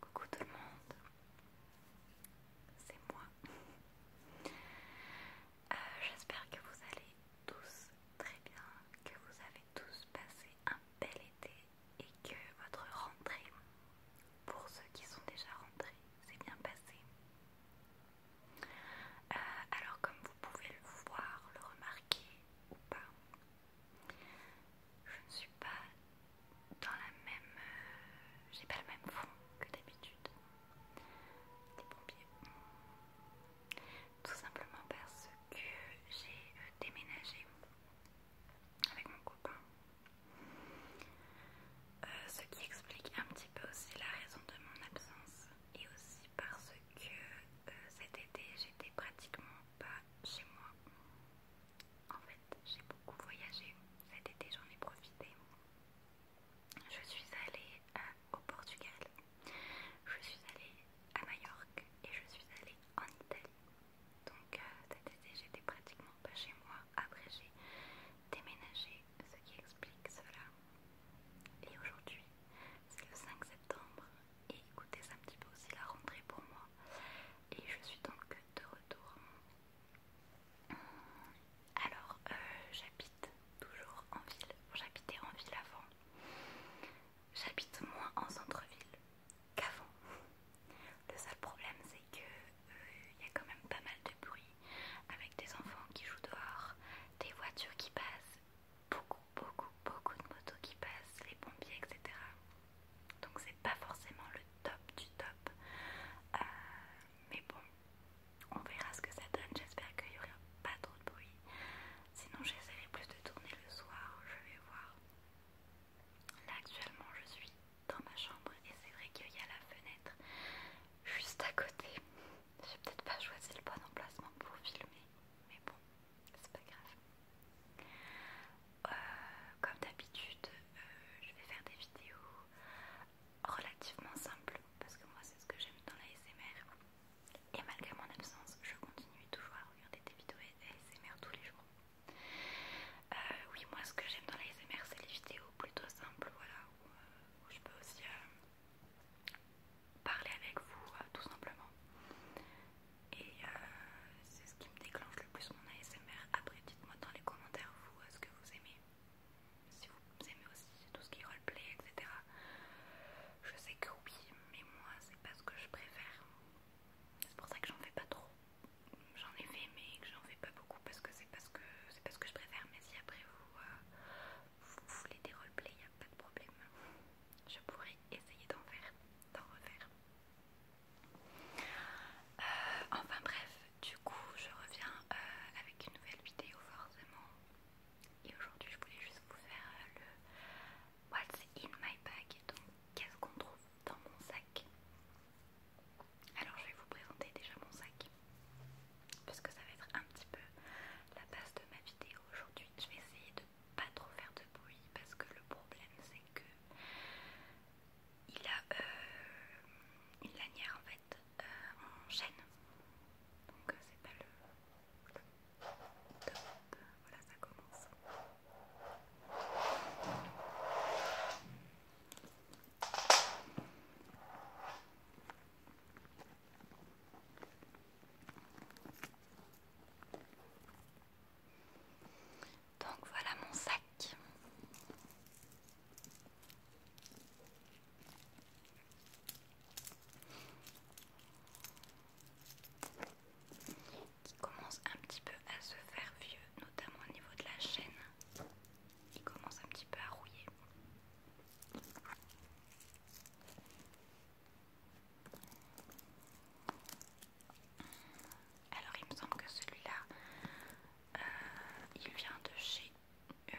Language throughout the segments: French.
Coucou tout le monde, c'est moi. Euh, j'espère que vous allez tous très bien, que vous avez tous passé un bel été et que votre rentrée, pour ceux qui sont déjà rentrés, s'est bien passée. Euh, alors comme vous pouvez le voir, le remarquer ou pas, je ne suis pas dans la même. Euh, j'ai pas le même fond que d'habitude des pompiers. Tout simplement parce que j'ai euh, déménagé avec mon copain. Euh, ce qui explique un petit peu aussi la raison de mon absence et aussi parce que que euh, cet été j'étais pratiquement pas chez moi. En fait, j'ai beaucoup voyagé. Cet été j'en ai profité. Je suis allée euh, au Portugal, je suis allée à Majorque et je suis allée en Italie. Donc euh, cet été j'étais pratiquement pas chez moi. Après j'ai déménagé, ce qui explique cela. Et aujourd'hui, c'est le 5 septembre et écoutez, c'est un petit peu aussi la rentrée pour moi. Et je suis donc de retour. Alors, euh, j'habite toujours en ville. J'habitais en ville avant. J'habite moins en centre-ville qu'avant. Le seul problème, c'est que il euh, y a quand même pas mal de bruit avec des enfants qui jouent dehors, des voitures qui passent, beaucoup, beaucoup, beaucoup de motos qui passent, les pompiers, etc. Donc c'est pas forcément le top du top. Euh, mais bon, on verra ce que ça donne. J'espère qu'il n'y aura pas trop de bruit. Sinon j'essaierai plus de tourner le soir, je vais voir. Là actuellement je suis dans ma chambre et c'est vrai qu'il y a la fenêtre juste à côté. J'ai peut-être pas choisi le bon emplacement pour filmer, mais bon c'est pas grave. Euh, comme d'habitude, euh, je vais faire des vidéos relativement simples parce que moi c'est ce que j'aime dans la SMR. Et malgré mon absence, je continue toujours à regarder des vidéos ASMR tous les jours. Euh, oui, moi ce que j'aime dans la SMR, c'est les vidéos plutôt simples, voilà, où, je peux aussi parler avec vous tout simplement. Et euh, c'est ce qui me déclenche le plus mon ASMR. Après, dites-moi dans les commentaires, vous, est ce que vous aimez. Si vous aimez aussi tout ce qui est roleplay, etc. Je sais que oui, mais moi, c'est pas ce que je préfère. C'est pour ça que j'en fais pas trop. J'en ai fait, mais que j'en fais pas beaucoup parce que c'est pas, ce ce que je préfère. Mais si après vous, euh, voulez des roleplays, il a pas de problème je pourrais essayer d'en faire, d'en refaire. Euh, enfin bref, du coup je reviens euh, avec une nouvelle vidéo forcément. Et aujourd'hui je voulais juste vous faire euh, le What's in my bag, donc qu'est-ce qu'on trouve dans mon sac. Alors je vais vous présenter déjà mon sac, parce que ça va être un petit peu la base de ma vidéo aujourd'hui. Je vais essayer de pas trop faire de bruit parce que le problème c'est que il a euh, une lanière en fait euh, en chaîne donc euh, c'est pas le voilà ça commence donc voilà mon sac. Qui commence un petit peu à se faire vieux, notamment au niveau de la chaîne. qui commence un petit peu à rouiller. Alors il me semble que celui-là, euh, il vient de chez euh,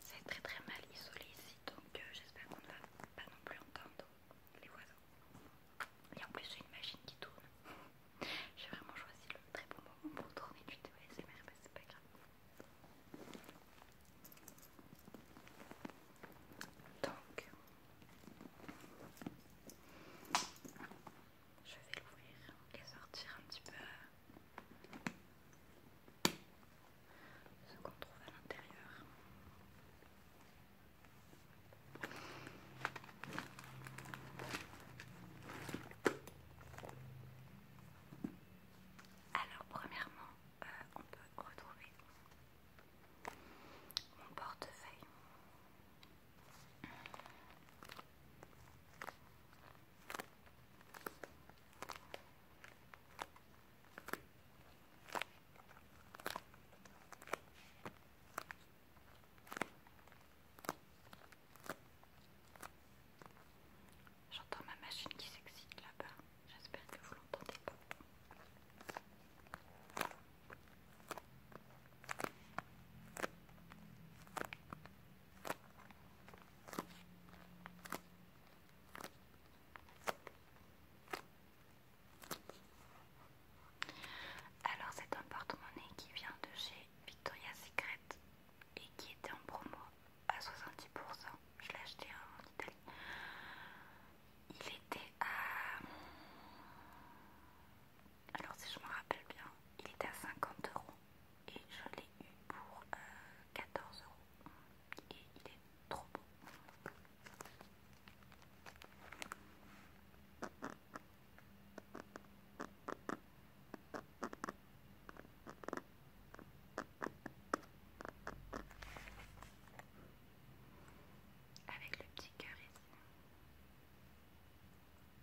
C'est très très mal isolé ici, donc euh, j'espère qu'on ne va pas non plus entendre les voisins. Et en plus, j'ai une machine qui tourne. j'ai vraiment choisi le très bon moment pour tourner du TOSMR, mais c'est pas grave. Donc, je vais l'ouvrir et sortir un petit peu ce qu'on trouve à l'intérieur. Alors premièrement, euh, on peut retrouver mon portefeuille. J'entends ma machine qui s'excite là-bas. J'espère que vous l'entendez pas. Alors c'est un porte-monnaie qui vient de chez Victoria's Secret et qui était en promo à 70%. Je l'ai acheté hein, en Italie. Il était à... Alors si je me rappelle bien, il était à 50 euros et je l'ai eu pour euh, quatorze 14 euros et il est trop beau. Avec le petit cœur ici.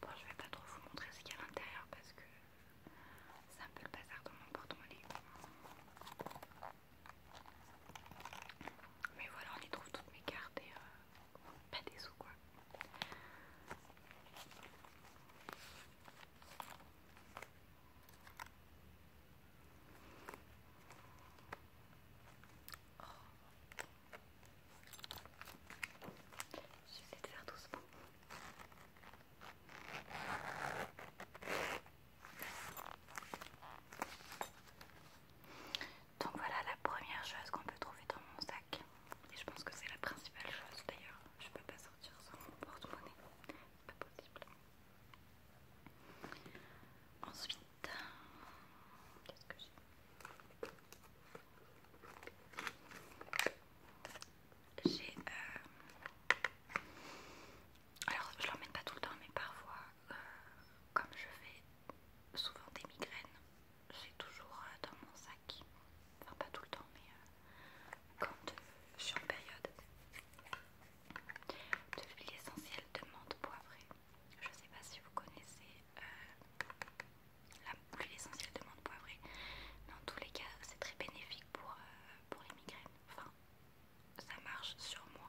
Bon, je vais pas trop vous montrer ce qu'il y a à l'intérieur parce que c'est un peu le bazar dans mon porte-monnaie. Mais voilà, on y trouve toutes mes cartes et euh, pas des sous quoi. Oh. J'essaie de faire doucement. Donc voilà la première chose qu'on peut trouver dans mon sac. Et je pense que c'est la principale chose d'ailleurs. Je peux pas sortir sans mon porte-monnaie. Pas possible. Ensuite, qu'est-ce que j'ai j'ai. Euh, alors, je l'emmène pas tout le temps, mais parfois, euh, comme je fais souvent des migraines, j'ai toujours euh, dans mon sac. Enfin, pas tout le temps, mais quand je suis en période de l'huile essentielle de menthe poivrée. Je ne sais pas si vous connaissez euh, la l'huile essentielle de menthe poivrée, Dans tous les cas, c'est très bénéfique pour, euh, pour les migraines. Enfin, ça marche sur moi.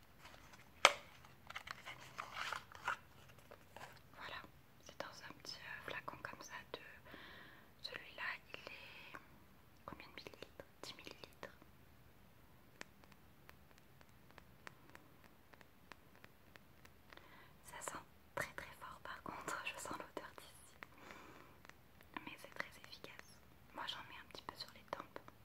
Voilà, c'est dans un petit euh, flacon comme ça de celui-là, il est combien de millilitres 10 millilitres. Ça sent très très fort par contre, je sens l'odeur d'ici. Mais c'est très efficace. Moi j'en mets un petit peu sur les tempes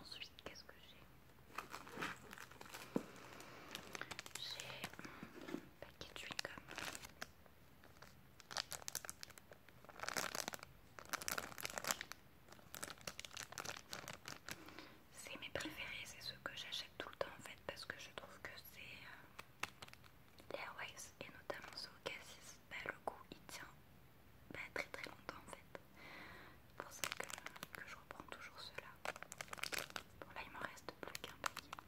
Ensuite, qu'est-ce que j'ai J'ai un paquet de chewing-gum. C'est mes préférés, c'est ceux que j'achète tout le temps en fait parce que je trouve que c'est euh, Airways et notamment ceux au cassis. Bah, le goût il tient bah, très très longtemps en fait. C'est pour ça que, je reprends toujours cela. Bon là il me reste plus qu'un paquet.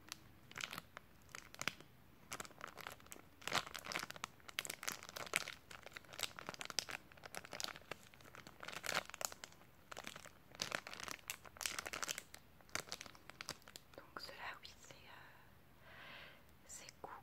Donc cela oui c'est euh, C'est cool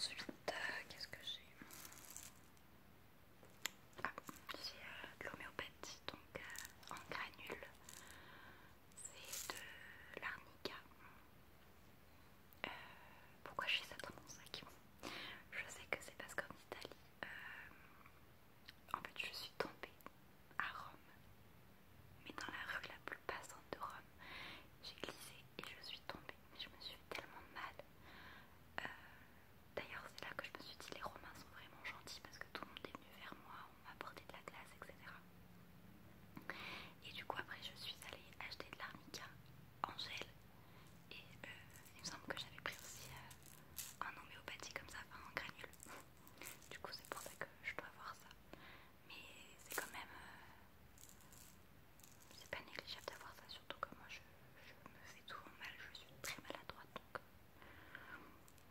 Ensuite, euh, qu'est-ce que j'ai c'est ah, euh, de l'homéopathie, donc euh, en granule. C'est de l'arnica. Euh, pourquoi pourquoi j'ai ça dans mon sac Je sais que c'est parce qu'en Italie, en fait, je suis tombée à Rome, mais dans la rue la plus passante de Rome, j'ai glissé et je suis tombée. Je me suis tellement mal. D'ailleurs, c'est là que je me suis dit les Romains sont vraiment gentils parce que tout le monde est venu vers moi, on m'a apporté de la glace, etc. Et du coup, après, je suis allée acheter de l'Armica en gel. Et euh, il me semble que j'avais pris aussi euh, un homéopathie comme ça, enfin en granule. Du coup, c'est pour ça que je dois avoir ça. Mais c'est quand même. Euh, c'est pas négligeable d'avoir ça, surtout que moi je, je me fais souvent mal, je suis très maladroite donc.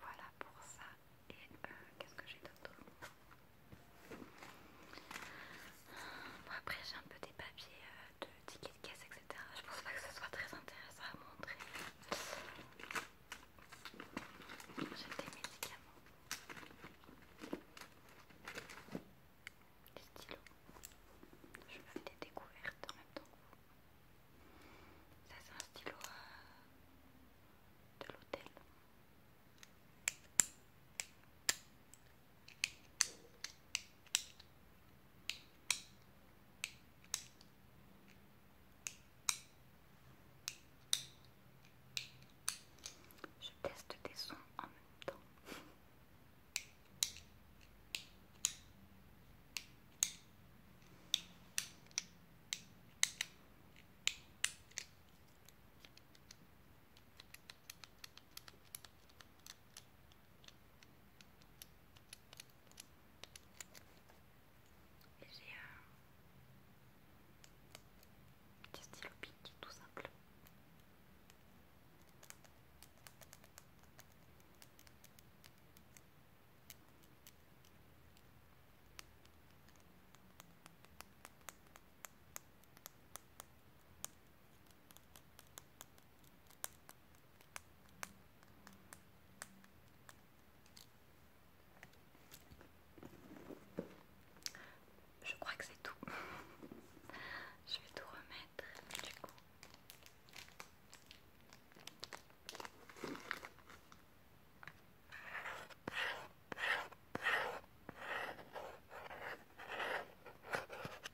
Voilà pour ça. Et euh, qu'est-ce que j'ai d'autre Après j'ai un peu des papiers euh, de ticket de caisse, etc. Je pense pas que ce soit très intéressant à montrer. J'ai des médicaments. Des stylos. Je fais des découvertes en même temps Ça c'est un stylo euh, de l'hôtel. Je teste des sons en même temps. Et j'ai un petit stylo tout simple. Je crois que c'est tout. Je vais tout remettre du coup.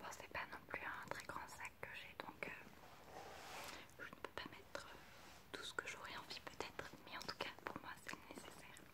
Bon, c'est pas non plus un très grand sac que j'ai donc euh, je ne peux pas mettre euh, tout ce que j'aurais envie peut-être, mais en tout cas pour moi c'est nécessaire.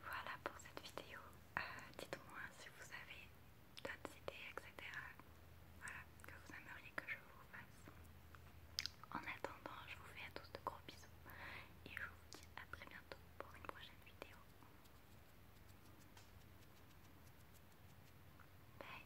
Voilà pour cette vidéo. Euh, dites-moi si vous avez d'autres idées, etc. Voilà, que vous aimeriez que je vous fasse. En attendant, je vous fais à tous de gros bisous et je vous dis à très bientôt pour une prochaine vidéo. Bye